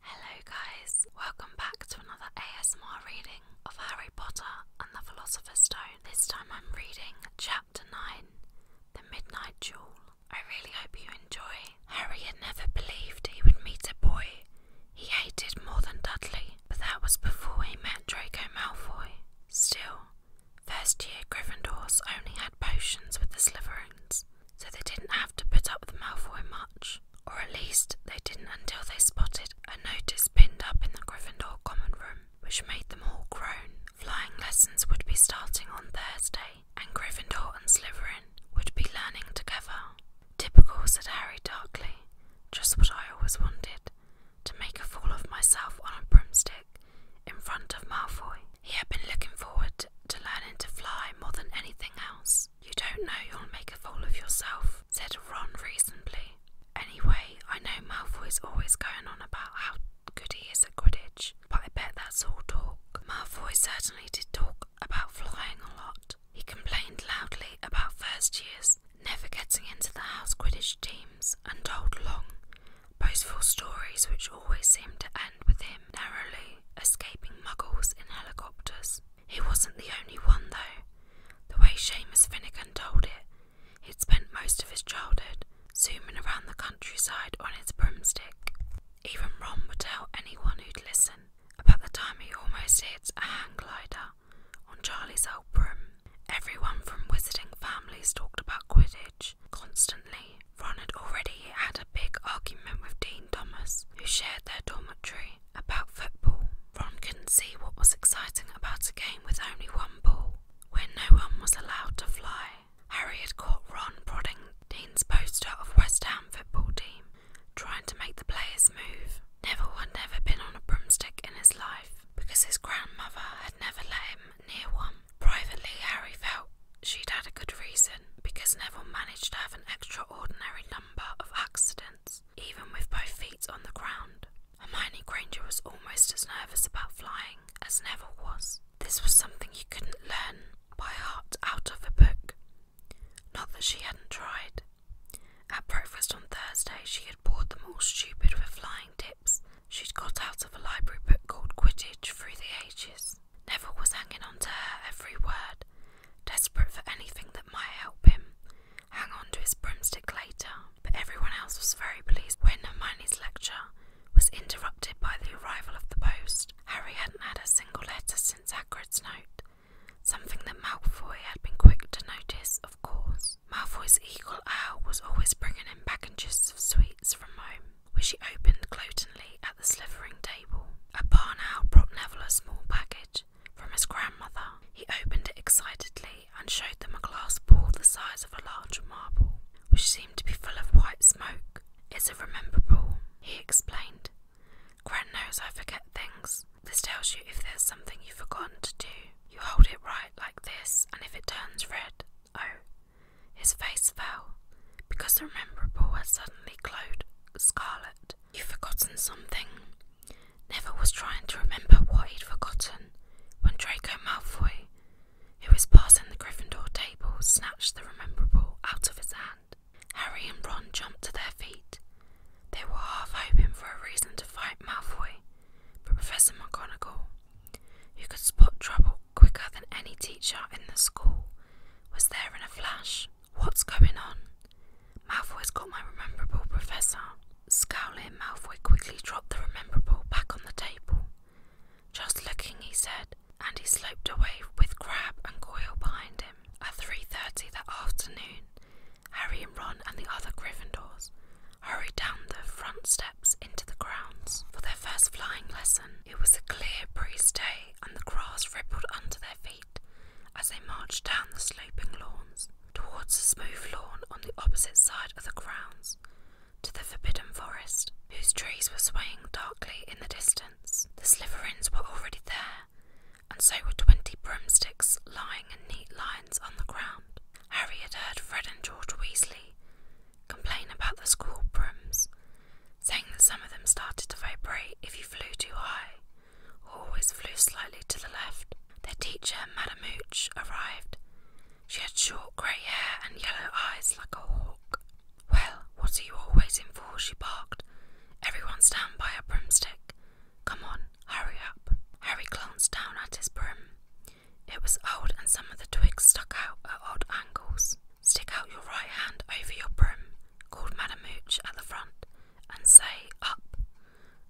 Hello, guys, welcome back to another ASMR reading of Harry Potter and the Philosopher's Stone. This time I'm reading Chapter 9 The Midnight Jewel. I really hope you enjoy. Harry had never believed he would meet a boy he hated more than Dudley, but that was before he met Draco Malfoy. Still, first year Gryffindors only had potions with the Slytherins, so they didn't have to put up with Malfoy much, or at least they didn't until they spotted a notice pinned up in the Gryffindor common room, which made them all groan. Flying lessons would be starting on Thursday, and Gryffindor and Slytherin would be learning together. Typical, said Harry darkly, just what I always wanted to make a fool of myself on a broomstick in front of Malfoy. He had been looking forward to learning to fly more than anything else. You don't know you'll make a fool of yourself, said Ron reasonably. Anyway, I know is always going on about how good he is at Quidditch, but I bet that's all talk. Malfoy certainly did talk about flying a lot. He complained loudly about first years never getting into the house Quidditch teams and told long, boastful stories which always seemed to end with him narrowly escaping muggles in helicopters. He wasn't the only one, though. The way Seamus Finnegan told it, he'd spent most of his childhood zooming around the countryside on his broomstick. Even Ron would tell anyone who'd listen about the time he almost hit a hang glider on Charlie's old broom. Everyone from wizarding families talked about Quidditch constantly. Ron had already had a big argument with Dean Thomas, who shared their dormitory, about football. Ron couldn't see what was exciting about a game with only one ball, where no one was allowed to fly. Harry had caught Ron prodding Dean's poster of West Ham football team, trying to make the players move. Neville had never been on a broomstick in his life, because his grandmother had never let him near one. Privately, Harry felt she'd had a good reason, because Neville managed to have an extraordinary number of accidents, even with both feet on the ground. Hermione Granger was almost as nervous about flying as Neville was. This was something you couldn't learn by heart out of a book. Not that she hadn't tried. At breakfast on Thursday, she had bored them all stupid with flying tips she'd got out of a library book called Quidditch Through the Ages. Neville was hanging on to her every word, Desperate for anything that might help him, hang on to his broomstick later, but everyone else was very pleased when Hermione's lecture was interrupted by the arrival of the post. Harry hadn't had a single letter since Hagrid's note, something that Malfoy had been quick to notice, of course. Malfoy's eagle owl was always bringing him packages of sweets from home, which he opened gloatingly at the slithering table. A barn owl brought Neville a small package, from his grandmother. He opened it excitedly and showed them a glass ball the size of a large marble, which seemed to be full of white smoke. It's a remember ball, he explained. Gran knows I forget things. This tells you if there's something you've forgotten to do. You hold it right like this, and if it turns red, oh. His face fell, because the remember ball had suddenly glowed scarlet. You've forgotten something. Neville was trying to remember what he'd forgotten when Draco Malfoy, who was passing the Gryffindor table, snatched the rememberable out of his hand. Harry and Ron jumped to their feet. They were half hoping for a reason to fight Malfoy, but Professor McGonagall, who could spot trouble quicker than any teacher in the school, was there in a flash. What's going on? Malfoy's got my rememberable, Professor. Scowling, Malfoy quickly dropped the rememberable back on the table. Just looking, he said, and he sloped away with Crab and Goyle behind him. At 3.30 that afternoon, Harry and Ron and the other Gryffindors hurried down the front steps into the grounds for their first flying lesson. It was a clear breezy day and the grass rippled under their feet as they marched down the sloping lawns towards the smooth lawn on the opposite side of the grounds to the forbidden forest, whose trees were swaying darkly in the distance. The Sliverins were already there, and so were twenty broomsticks lying in neat lines on the ground. Harry had heard Fred and George Weasley complain about the school brooms, saying that some of them started to vibrate if you flew too high, always flew slightly to the left. Their teacher, Madame Hooch, arrived. She had short grey hair and yellow eyes like a hawk. Well, what are you all waiting for? she barked. Everyone stand by a broomstick. Come on, hurry up. Harry glanced down at his broom. It was old and some of the twigs stuck out at odd angles. Stick out your right hand over your broom, called Madame Hooch at the front, and say up,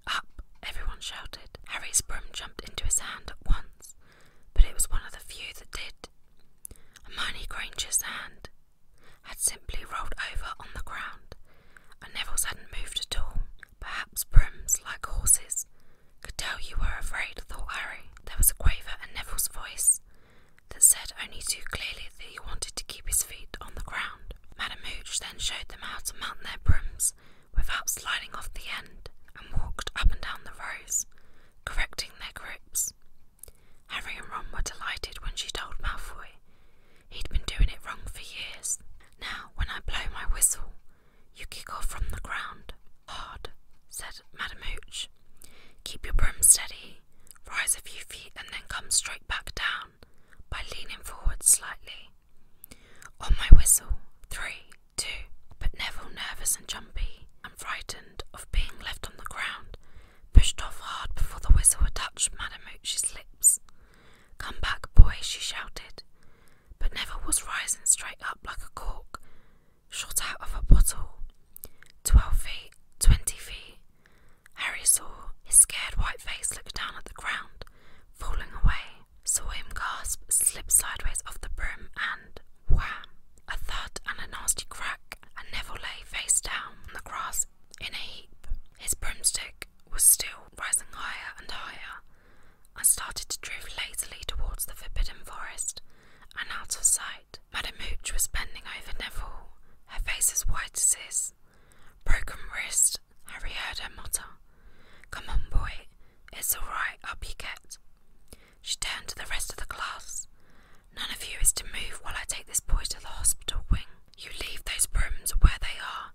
up, everyone shouted. Harry's broom jumped into his hand at once, but it was one of the few that did. Hermione Granger's hand had simply rolled over on the ground, and Neville's hadn't moved at all. Perhaps brooms, like horses, could tell you were afraid, thought Harry. There was a quaver in Neville's voice that said only too clearly that he wanted to keep his feet on the ground hand. Madame Hooch then showed them how to mount their brooms without sliding off the end, and walked up and down the rows, correcting their grips. Harry and Ron were delighted when she told Malfoy he'd been doing it wrong for years. Now, when I blow my whistle, you kick off from the ground. Hard, said Madame Hooch. Keep your broom steady, rise a few feet, and then come straight back down by leaning forward slightly. On my whistle, three, two, but Neville, nervous and jumpy and frightened of being left on the ground, pushed off hard before the whistle had touched Madame Hooch's lips. Come back, boy, she shouted, but Neville was rising straight up like a cork, shot out of a bottle. Twelve feet, twenty feet, Harry saw his scared white face look down at the ground, falling away, saw him gasp, slip sideways off the brim, and wham! A thud and a nasty crack, and Neville lay face down on the grass in a heap. His broomstick was still rising higher and higher, and started to drift lazily towards the forbidden forest and out of sight. Madame Hooch was bending over Neville, her face as white as his, Broken wrist, Harry heard her mutter. Come on, boy, it's all right, up you get. She turned to the rest of the class. None of you is to move while I take this boy to the hospital wing. You leave those brooms where they are,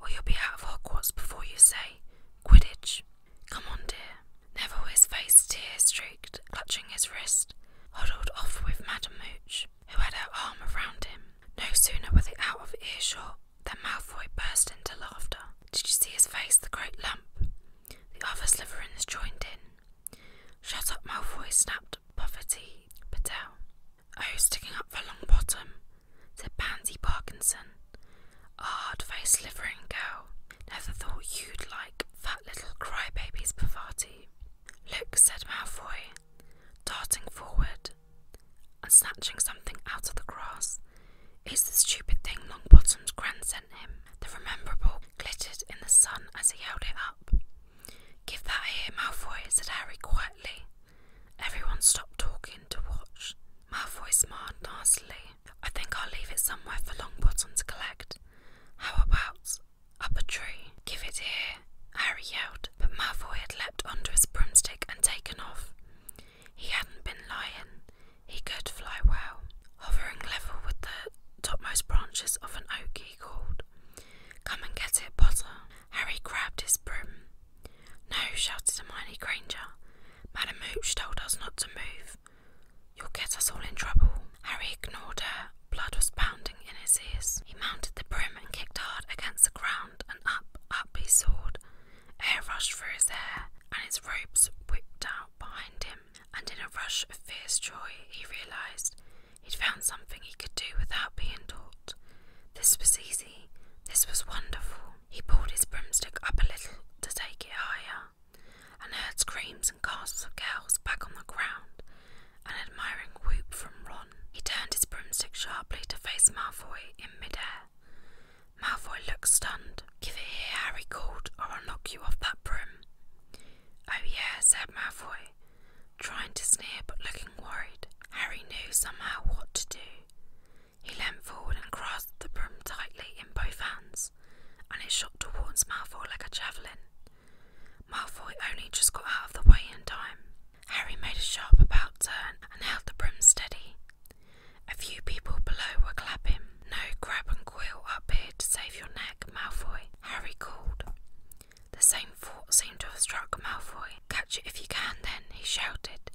or you'll be out of Hogwarts before you say, Quidditch. Come on, dear. Neville, his face tear streaked, clutching his wrist, huddled off with Madam Mooch who had her arm around him. No sooner were they out of earshot than Malfoy burst into laughter. Did you see his face, the great lump? The other Slytherins joined in. Shut up, Malfoy, snapped Poverty Patel. Oh, sticking up for Longbottom, said Pansy Parkinson. A hard-faced Slytherin girl. Never thought you'd like fat little crybabies, poverty." Look, said Malfoy, darting forward and snatching something out of the grass. It's the stupid thing Longbottom's grand sent him. The rememberable glittered in the sun as he held it up. Give that here, Malfoy, said Harry quietly. Everyone stopped talking to watch. Malfoy smiled nastily. I think I'll leave it somewhere for Longbottom to collect. How about up a tree. Give it here, Harry yelled, but Malfoy had leapt onto his broomstick and taken off. He hadn't been lying. He could fly well. Hovering level with the topmost branches of an oak, he called. Come and get it, Potter. Harry grabbed his broom. No, shouted Hermione Granger. Madam Mooch told us not to move. You'll get us all in trouble. Harry ignored her. Blood was pounding in his ears. He mounted the brim and kicked hard against the ground, and up, up he soared. Air rushed through his hair, and his ropes whipped out behind him, and in a rush of fierce joy he realized he'd found something he could do without being taught. This was easy, this was wonderful. He pulled his broomstick up a little to take it higher, and heard screams and gasps of girls back on the ground an admiring whoop from Ron. He turned his broomstick sharply to face Malfoy in midair. Malfoy looked stunned. Give it here, Harry called, or I'll knock you off that broom. Oh, yeah, said Malfoy, trying to sneer but looking worried. Harry knew somehow what to do. He leant forward and grasped the broom tightly in both hands, and it shot towards Malfoy like a javelin. Malfoy only just got out of the way in time. Harry made a sharp about turn and held the brim steady. A few people below were clapping. No grab and quill up here to save your neck, Malfoy, Harry called. The same thought seemed to have struck Malfoy. Catch it if you can, then, he shouted,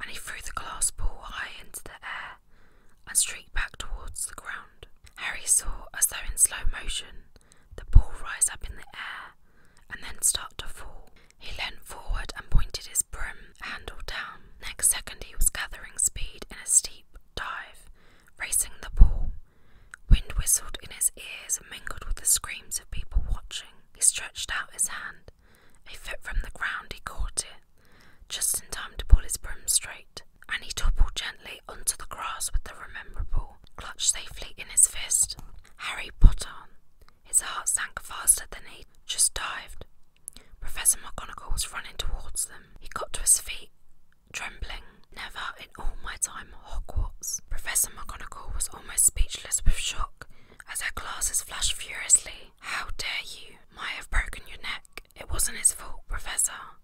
and he threw the glass ball high into the air and streaked back towards the ground. Harry saw, as though in slow motion, the ball rise up in the air and then start to fall. He leaned forward and pointed his brim handle down. Next second, he was gathering speed in a steep dive, racing the ball. Wind whistled in his ears and mingled with the screams of people watching. He stretched out his hand. A foot from the ground, he caught it, just in time to pull his brim straight, and he toppled gently onto the grass with the rememberable clutched safely in his fist. Harry put on. His heart sank faster than he just dived. Professor McGonagall was running towards them. He got to his feet, trembling. Never in all my time at Hogwarts. Professor McGonagall was almost speechless with shock as her glasses flashed furiously. How dare you? Might have broken your neck. It wasn't his fault, Professor.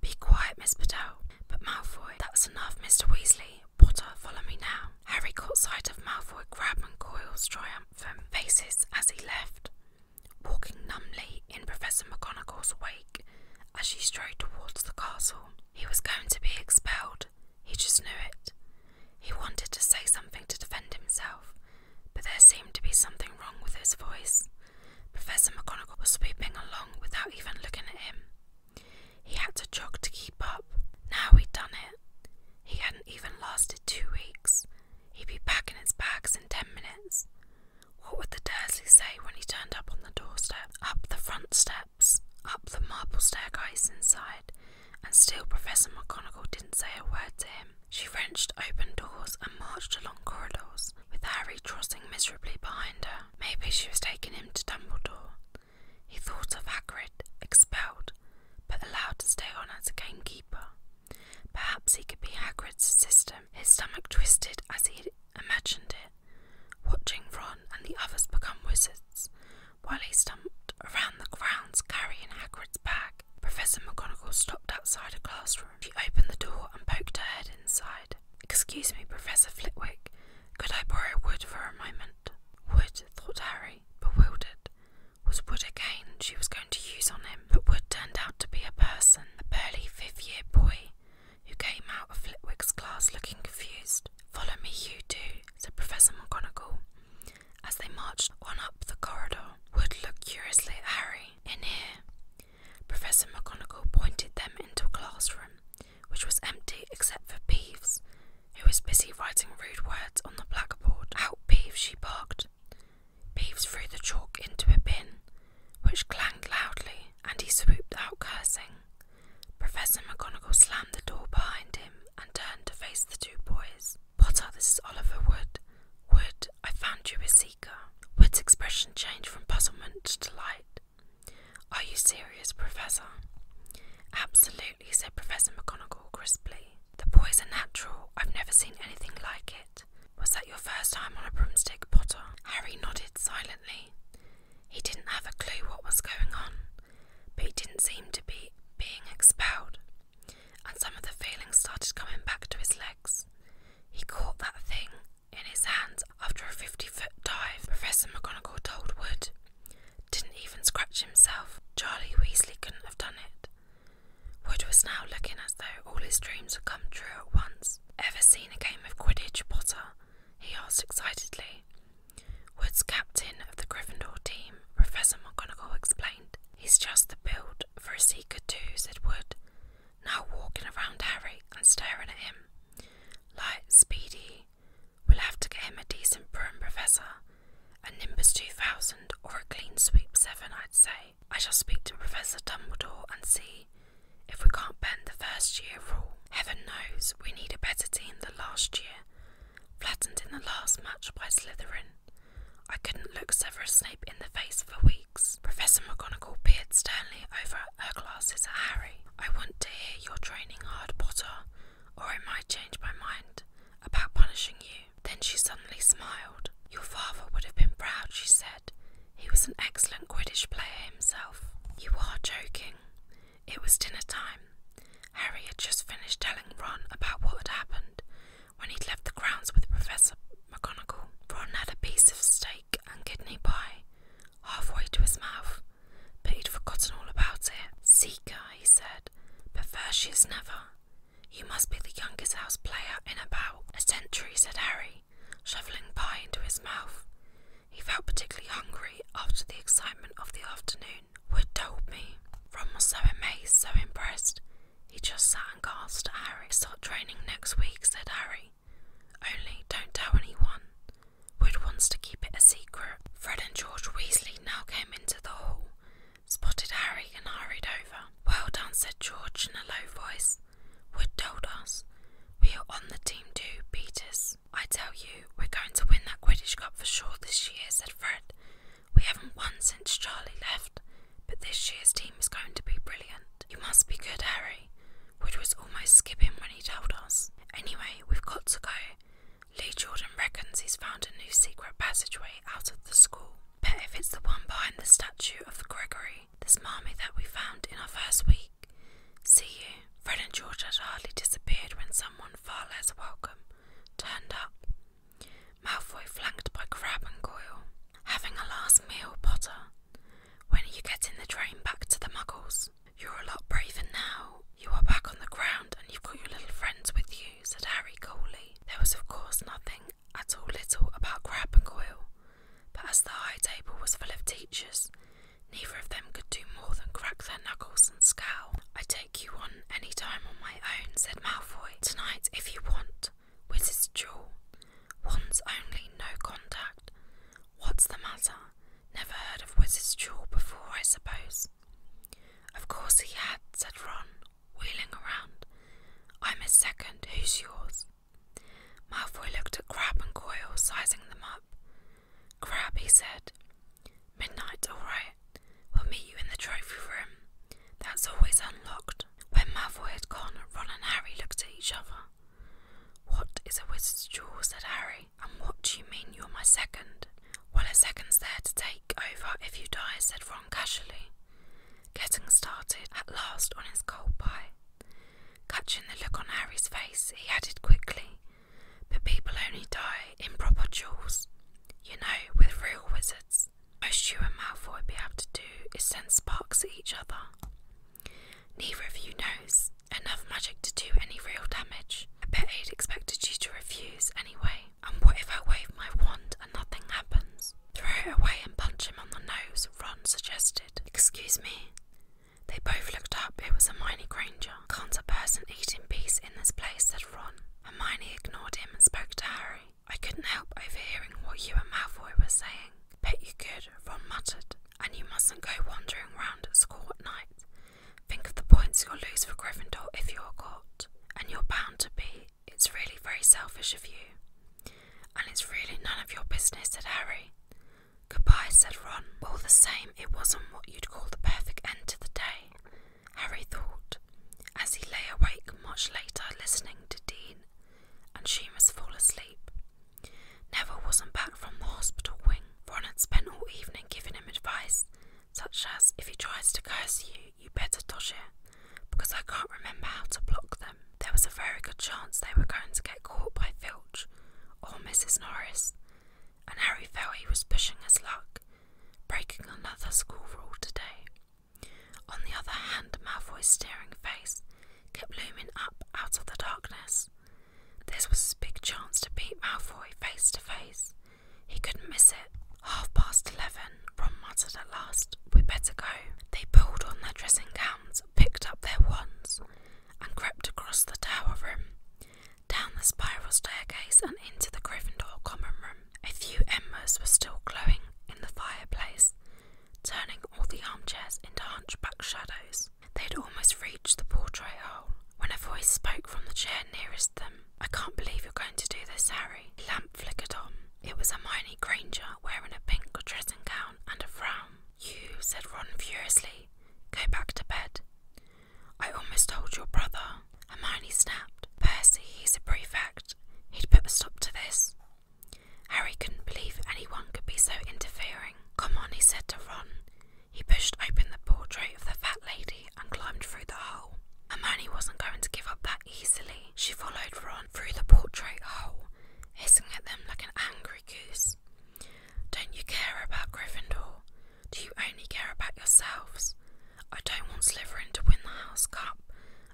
Be quiet, Miss Bedell. But Malfoy, that's enough, Mr. Weasley. Harry, Potter, follow me now. Harry caught sight of Malfoy grab and Coyle's triumphant faces as he left, walking numbly in Professor McGonagall's wake as she strode towards the castle. He was going to be expelled, he just knew it. He wanted to say something to defend himself, but there seemed to be something wrong with his voice. Professor McGonagall was sweeping along without even looking at him. He had to jog to keep up. Now he'd done it. He hadn't even lasted two weeks. He'd be packing his bags in ten minutes. What would the Dursleys say when he turned up on the doorstep, up the front steps, up the marble staircase inside? And still, Professor McGonagall didn't say a word to him. She wrenched open doors and marched along corridors, with Harry trotting miserably behind her. Maybe she was taking him to Dumbledore. He thought of Hagrid, expelled, but allowed to stay on as a gamekeeper. Perhaps he could be Hagrid's assistant. His stomach twisted as he imagined it, watching Ron and the others become wizards, while he stumped around the grounds carrying Hagrid's bag. Professor McGonagall stopped outside a classroom. She opened the door and poked her head inside. Excuse me, Professor Flitwick, could I borrow wood for a moment? Wood. thought Harry, bewildered. Was Wood again she was going to use on him? But Wood turned out to be a person, a burly fifth year boy, who came out of Flitwick's class looking confused. Follow me, you two, said Professor McGonagall, as they marched on up the corridor. Wood looked curiously at Harry. In here. Professor McGonagall pointed them into a classroom which was empty except for Peeves, who was busy writing rude words on the blackboard. Out, Peeves, she barked. Peeves threw the chalk into a bin, which clanged loudly, and he swooped out cursing. Professor McGonagall slammed the door behind him and turned to face the two boys. Potter, this is Oliver Wood. Wood, I found you a seeker. Wood's expression changed from puzzlement to delight. Are you serious, Professor? Absolutely, he said Professor McGonagall crisply. The boy's a natural. I've never seen anything like it. Was that your first time on a broomstick, Potter? Harry nodded silently. He didn't have a clue what was going on, but he didn't seem to be being expelled, and some of the feelings started coming back to his legs. He caught that thing in his hands after a fifty foot dive, Professor McGonagall told Wood didn't even scratch himself. Charlie Weasley couldn't have done it. Wood was now looking as though all his dreams had come true at once. Ever seen a game of Quidditch, Potter? he asked excitedly. Wood's captain of the Gryffindor team, Professor McGonagall, explained. He's just the build for a seeker too, said Wood, now walking around Harry and staring at him. like speedy, We'll have to get him a decent broom, Professor. A Nimbus 2000 or a clean sweep 7, I'd say. I shall speak to Professor Dumbledore and see if we can't bend the first year rule. Heaven knows we need a better team than last year, flattened in the last match by Slytherin. I couldn't look Severus Snape in the face for weeks. Professor McGonagall peered sternly over her glasses at Harry. I want to hear your training hard, Potter or I might change my mind about punishing you. Then she suddenly smiled. Your father would have been proud, she said. He was an excellent Quidditch player himself. You are joking. It was dinner time. Harry had just finished telling Ron about what had happened when he'd left the grounds with Professor McGonagall. Ron had a piece of steak and kidney pie halfway to his mouth but he'd forgotten all about it. Seeker, he said, but first she never. You must be the youngest house player in about a century, said Harry, shoveling pie into his mouth. He felt particularly hungry after the excitement of the afternoon. Wood told me. Ron was so amazed, so impressed. He just sat and gasped at Harry. Start training next week, said Harry. Only don't tell anyone. Wood wants to keep it a secret. Fred and George Weasley now came into the hall, spotted Harry, and hurried over. Well done, said George in a low voice. Wood told us. We are on the team too, Peters. I tell you, we're going to win that Quidditch Cup for sure this year, said Fred. We haven't won since Charlie left, but this year's team is going to be brilliant. You must be good, Harry. Wood was almost skipping when he told us. Anyway, we've got to go. Lee Jordan reckons he's found a new secret passageway out of the school. But if it's the one behind the statue of the Gregory, this marmy that we found in our first week, see you. Fred and George had hardly disappeared when someone far less welcome turned up. Malfoy flanked by Crab and Goyle. Having a last meal, Potter. When are you getting the train back to the Muggles? You're a lot braver now. You are back on the ground and you've got your little friends with you, said Harry coolly. There was, of course, nothing at all little about Crab and Goyle, but as the high table was full of teachers, neither of them could do more than crack their knuckles and scowl. I take you on any time on my own, said Malfoy. Tonight, if you want, Wizard's duel. Once only, no contact. What's the matter? Never heard of Wizard's duel before, I suppose. Of course he had, said Ron, wheeling around. I'm his second, who's yours? Malfoy looked at Crab and Coil, sizing them up. Crab, he said. Midnight, all right. We'll meet you in the trophy room. That's always unlocked. When Malfoy had gone, Ron and Harry looked at each other. What is a wizard's jewel? said Harry. And what do you mean you're my second? Well, a second's there to take over if you die, said Ron casually, getting started at last on his cold pie. Catching the look on Harry's face, he added quickly, But people only die in proper duels, you know, with real wizards. Most you and Malfoy would be able to do is send sparks at each other. Neither of you knows enough magic to do any real damage. I bet he would expected you to refuse anyway. And what if I wave my wand and nothing happens? Throw it away and punch him on the nose, Ron suggested. Excuse me. They both looked up. It was Hermione Granger. Can't a person eat in peace in this place, said Ron. Hermione ignored him and spoke to Harry. I couldn't help overhearing what you and Malfoy were saying. Bet you could, Ron muttered. And you mustn't go wandering round at school at night. Think of the points you'll lose for Gryffindor if you're caught, and you're bound to be. It's really very selfish of you. And it's really none of your business, said Harry. Goodbye, said Ron. All the same, it wasn't what you'd call the perfect end to the day, Harry thought, as he lay awake much later listening to Dean and she must fall asleep. Neville wasn't back from the hospital wing. Ron had spent all evening giving him advice such as if he tries to curse you, you better dodge it, because I can't remember how to block them. There was a very good chance they were going to get caught by Filch or Mrs. Norris, and Harry felt he was pushing his luck, breaking another school rule today. On the other hand, Malfoy's staring face kept looming up out of the darkness. This was his big chance to beat Malfoy face to face. He couldn't miss it. Half past eleven, Ron muttered at last, We'd better go. They pulled on their dressing gowns, picked up their wands, and crept across the tower room, down the spiral staircase, and into the Gryffindor common room. A few embers were still glowing in the fireplace, turning all the armchairs into hunchback shadows. They'd almost reached the portrait hole when a voice spoke from the chair nearest them. I can't believe you're going to do this, Harry. lamp flickered on. It was Hermione Granger wearing a pink dressing gown and a frown. You, said Ron furiously, go back to bed. I almost told your brother. Hermione snapped. Percy, he's a prefect. He'd put a stop to this. Harry couldn't believe anyone could be so interfering. Come on, he said to Ron. He pushed open the portrait of the fat lady and climbed through the hole. Hermione wasn't going to give up that easily. She followed Ron through the portrait hole, hissing at them like an angry goose. Don't you care about Gryffindor? Do you only care about yourselves? I don't want Slytherin to win the House Cup,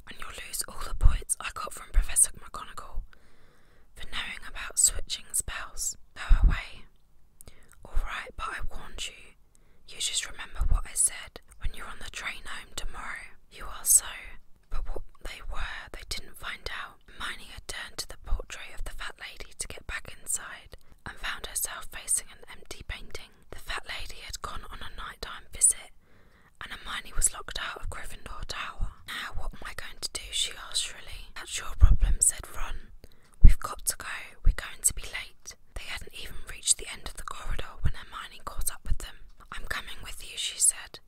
and you'll lose all the points I got from Professor McGonagall for knowing about switching spells. Go away. All right, but I warned you. You just remember what I said when you're on the train home tomorrow. You are so. But what they were, they didn't find out. Hermione had turned to the portrait of the fat lady to get back inside and found herself facing an empty painting. The fat lady had gone on a nighttime visit, and Hermione was locked out of Gryffindor Tower. Now, what am I going to do? she asked shrilly. That's your problem, said Ron. We've got to go, we're going to be late. They hadn't even reached the end of the corridor when Hermione caught up with them. I'm coming with you, she said.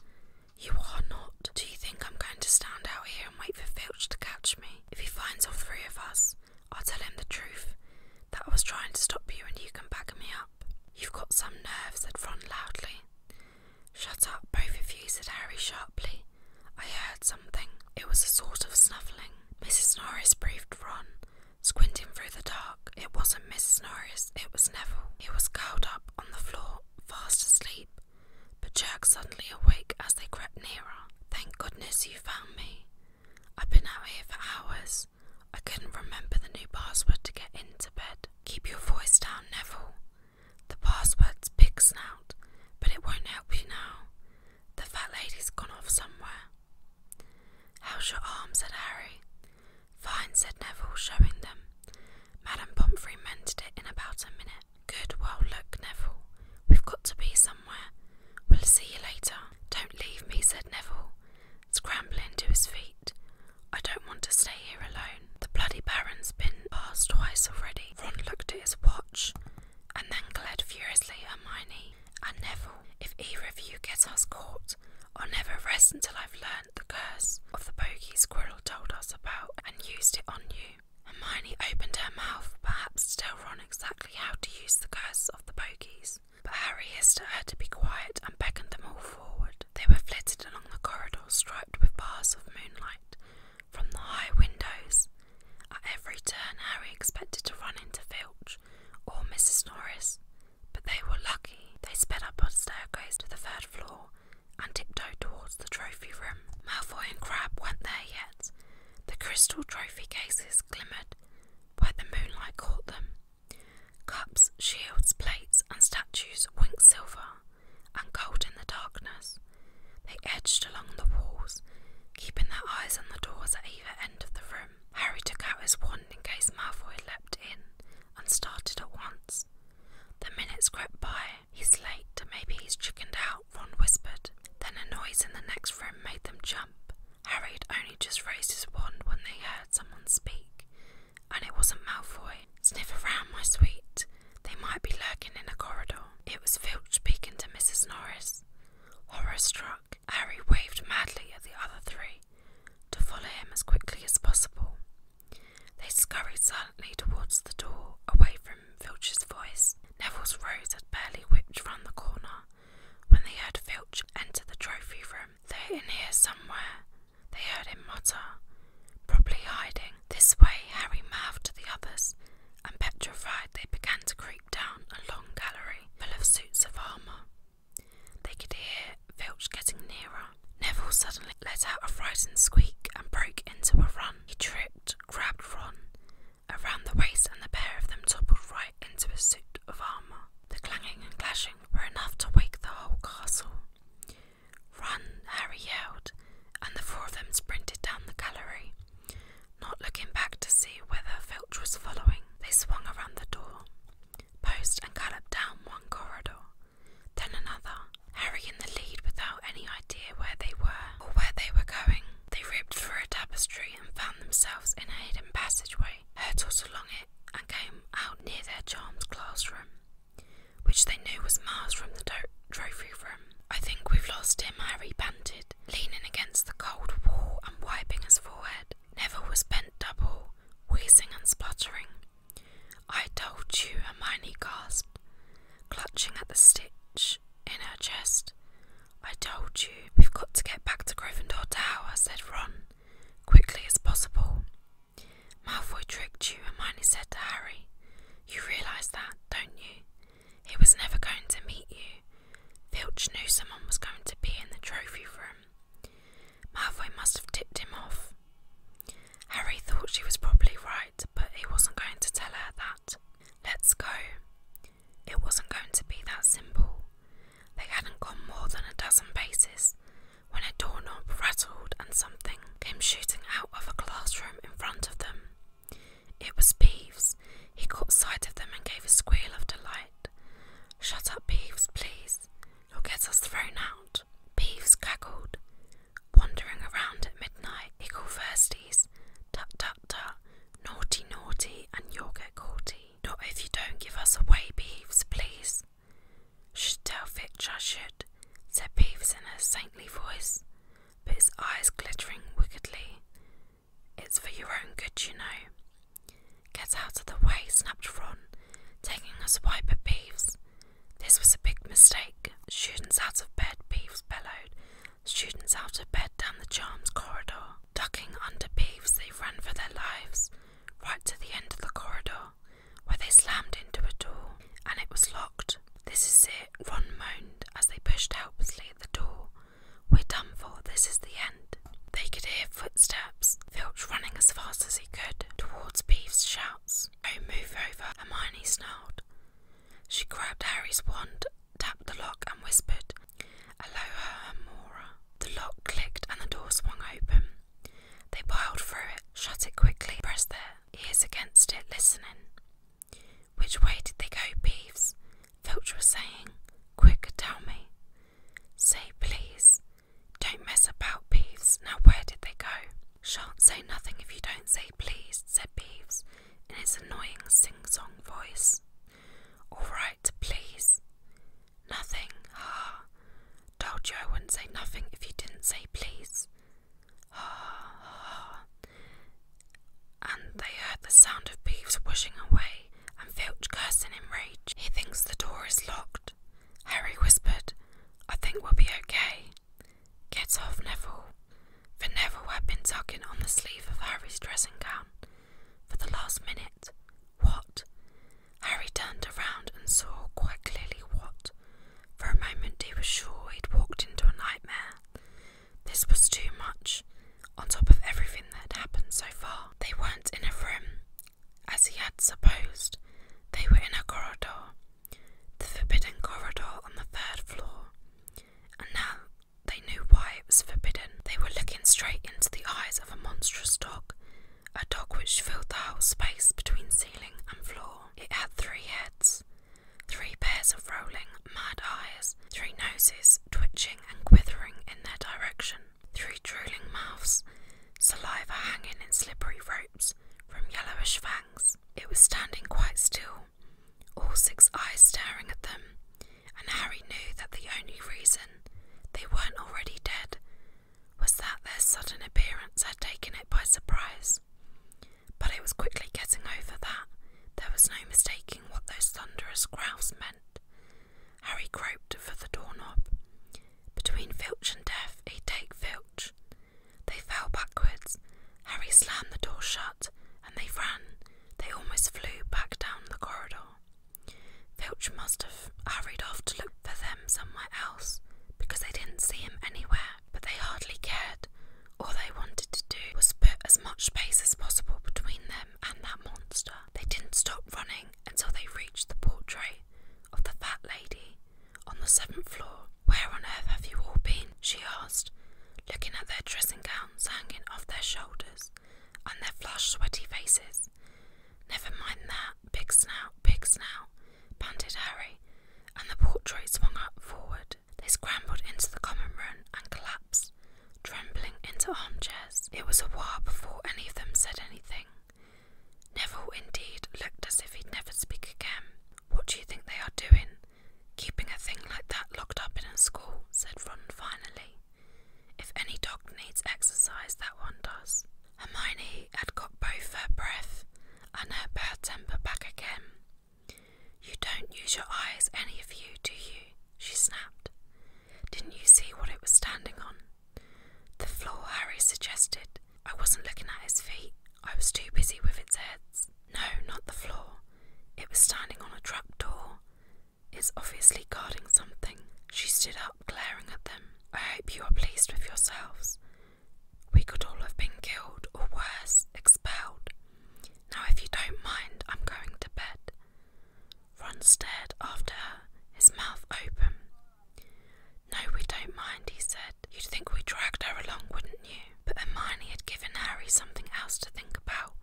You are not. Do you think I'm going to stand out here and wait for Filch to catch me? If he finds all three of us, I'll tell him the truth that I was trying to stop you and you can back me up. You've got some nerve, said Ron loudly. Shut up, both of you, said Harry sharply. I heard something. It was a sort of snuffling. Mrs. Norris breathed Ron, Squinting through the dark, it wasn't Mrs. Norris, it was Neville. He was curled up on the floor, fast asleep, but jerked suddenly awake as they crept nearer. Thank goodness you found me. I've been out here for hours. I couldn't remember the new password to get into bed. Keep your voice down, Neville. The password's pig snout, but it won't help you now. The fat lady's gone off somewhere. How's your arm? said Harry. Fine, said Neville, showing them. Madame Pomfrey mended it in about a minute. Good, well, look, Neville, we've got to be somewhere. We'll see you later. Don't leave me, said Neville, scrambling to his feet. I don't want to stay here alone. The bloody Baron's been past twice already. Ron looked at his watch and then glared furiously at Hermione and Neville if either of you get us caught. I'll never rest until I've learned the curse of the bogey Squirrel told us about and used it on you. Hermione opened her mouth, perhaps to tell Ron exactly how to use the curse of the bogies, but Harry hissed her to be quiet and beckoned them all forward. They were flitted along the corridor striped with bars of moonlight from the high windows. At every turn, Harry expected to run into Filch, or Mrs. Norris, but they were lucky. They sped up on staircase to the third floor and tiptoed towards the trophy room. Malfoy and Crab weren't there yet. The crystal trophy cases glimmered where the moonlight caught them. Cups, shields, plates, and statues winked silver and gold in the darkness. They edged along the walls, keeping their eyes on the doors at either end of the room. Harry took out his wand in case Malfoy leapt in and started at once. The minutes crept by. He's late, maybe he's chickened out, Ron whispered. Then a noise in the next room made them jump. Harry had only just raised his wand when they heard someone speak, and it wasn't Malfoy. Sniff around, my sweet. They might be lurking in a corridor. It was Filch speaking to Mrs. Norris. Horror struck, Harry waved madly at the other three to follow him as quickly as possible. They scurried silently towards the door, away from Filch's voice. Neville's rose had barely whipped round the corner when they heard Filch enter the trophy room. They're in here somewhere, they heard him mutter, probably hiding. This way, Harry mouthed to the others, and petrified they began to cry down a long gallery full of suits of armour. They could hear Filch getting nearer. Neville suddenly let out a frightened squeak and broke into a run. He tripped, grabbed Ron around the waist, and the pair of them toppled right into a suit of armour. The clanging and clashing were enough to wake the whole castle. Run, Harry yelled, and the four of them sprinted down the gallery not looking back to see whether Filch was following. They swung around the door, Post and galloped down one corridor, then another, Harry in the lead without any idea where they were or where they were going. They ripped through a tapestry and found themselves in a hidden passageway, hurtled along it, and came out near their charmed classroom, which they knew was miles from the trophy room. I think we've lost him, Harry panted, leaning against the cold wall and wiping his forehead. Never was bent double, wheezing and spluttering. I told you, Hermione gasped, clutching at the stitch in her chest. I told you, we've got to get back to Gryffindor Tower, said Ron, quickly as possible. Malfoy tricked you, Hermione said to Harry. You realise that, don't you? He was never going to meet you, Filch knew someone was going to be in the trophy room. Malfoy must have tipped him off. Harry thought she was probably right, but he wasn't going to tell her that. Let's go. It wasn't going to be that simple. They hadn't gone more than a dozen paces when a doorknob rattled and something came shooting out of a classroom in front of them. It was Peeves. He caught sight of them and gave a squeal of delight. Shut up, Peeves, please. You'll get us thrown out. Peeves cackled. Wandering around at midnight, Icklefirsties, tut tut tut, naughty naughty, and you'll get caughty. Not if you don't give us away, Peeves, please. Should tell Fitch I should, said Peeves in a saintly voice, but his eyes glittering wickedly. It's for your own good, you know. Get out of the way, snapped Ron, taking a swipe at Beeves. This was a big mistake. Students out of bed, Beeves bellowed. Students out of bed down the charms corridor. Ducking under Beeves, they ran for their lives, right to the end of the corridor, where they slammed into a door, and it was locked. This is it, Ron moaned as they pushed helplessly at the door. We're done for, this is the end. They could hear footsteps, Filch running as fast as he could towards Beef's shouts. Oh, move over, Hermione snarled. She grabbed Harry's wand, tapped the lock, and whispered, Aloha, Mora. The lock clicked and the door swung open. They piled through it, shut it quickly, pressed their ears against it, listening. Which way did they go, Beeves? Filch was saying. Quick, tell me. Say please. Don't mess about, Bees. Now where did they go? Shan't say nothing if you don't say please, said Peeves in his annoying sing song voice. All right, please. Nothing, ha. Told you wouldn't say nothing if you didn't say please. Ha, ha. And they heard the sound of Bees washing away and Filch cursing in rage. He thinks the door is locked. Harry whispered, I think we'll be okay. Get off, Neville. For Neville had been tugging on the sleeve of Harry's dressing gown for the last minute. What? Harry turned around and saw quite clearly what. For a moment he was sure he'd walked into a nightmare. This was too much, on top of everything that had happened so far. They weren't in a room, as he had supposed, they were in a corridor, the forbidden corridor on the third floor. And now they knew why it was forbidden. They were looking straight into the eyes of a monstrous dog, a dog which filled the whole space between ceiling and floor. It had three heads, three pairs of rolling, mad eyes, three noses twitching and quivering in their direction. Through drooling mouths, saliva hanging in slippery ropes from yellowish fangs. It was standing quite still, all six eyes staring at them, and Harry knew that the only reason they weren't already dead was that their sudden appearance had taken it by surprise. But it was quickly getting over that. There was no mistaking what those thunderous growls meant. Harry groped for the doorknob. Between Filch and Death, he'd take Filch. They fell backwards. Harry slammed the door shut, and they ran. They almost flew back down the corridor. Filch must have hurried off to look for them somewhere else, because they didn't see him anywhere, but they hardly cared. All they wanted to do was put as much space as possible between them and that monster. They didn't stop running until they reached the portrait of the fat lady on the seventh floor. Where on earth have you all been? she asked, looking at their dressing gowns hanging off their shoulders and their flushed, sweaty faces. Never mind that, big snout, big snout, panted Harry, and the portrait swung up forward. They scrambled into the common room and collapsed trembling into armchairs. It was a while before any of them said anything. Neville, indeed, looked as if he'd never speak again. What do you think they are doing? Keeping a thing like that locked up in a school, said Ron finally. If any dog needs exercise, that one does. Hermione had got both her breath and her bad temper back again. You don't use your eyes, any of you, do you? she snapped. Didn't you see what it was standing on? The floor, Harry suggested. I wasn't looking at his feet, I was too busy with its heads. No, not the floor. It was standing on a trapdoor. It's obviously guarding something. She stood up, glaring at them. I hope you are pleased with yourselves. We could all have been killed, or worse, expelled. Now, if you don't mind, I'm going to bed. Ron stared after her, his mouth open. No, we don't mind, he said. You'd think we dragged her along, wouldn't you? But Hermione had given Harry something else to think about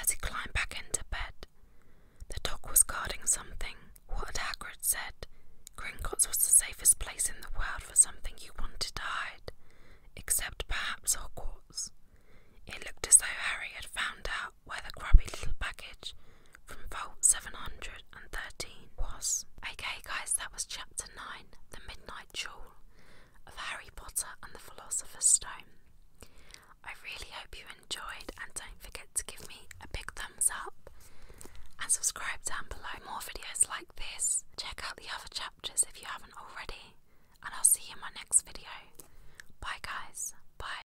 as he climbed back into bed. The dog was guarding something. What had Hagrid said? Gringotts was the safest place in the world for something you wanted to hide, except perhaps Hogwarts. It looked as though Harry had found out where the grubby little package from Vault 713 was. Okay, guys, that was Chapter 9 The Midnight Jewel of Harry Potter and the Philosopher's Stone. I really hope you enjoyed, and don't forget to give me a big thumbs up and subscribe down below. More videos like this. Check out the other chapters if you haven't already, and I'll see you in my next video. Bye, guys. Bye.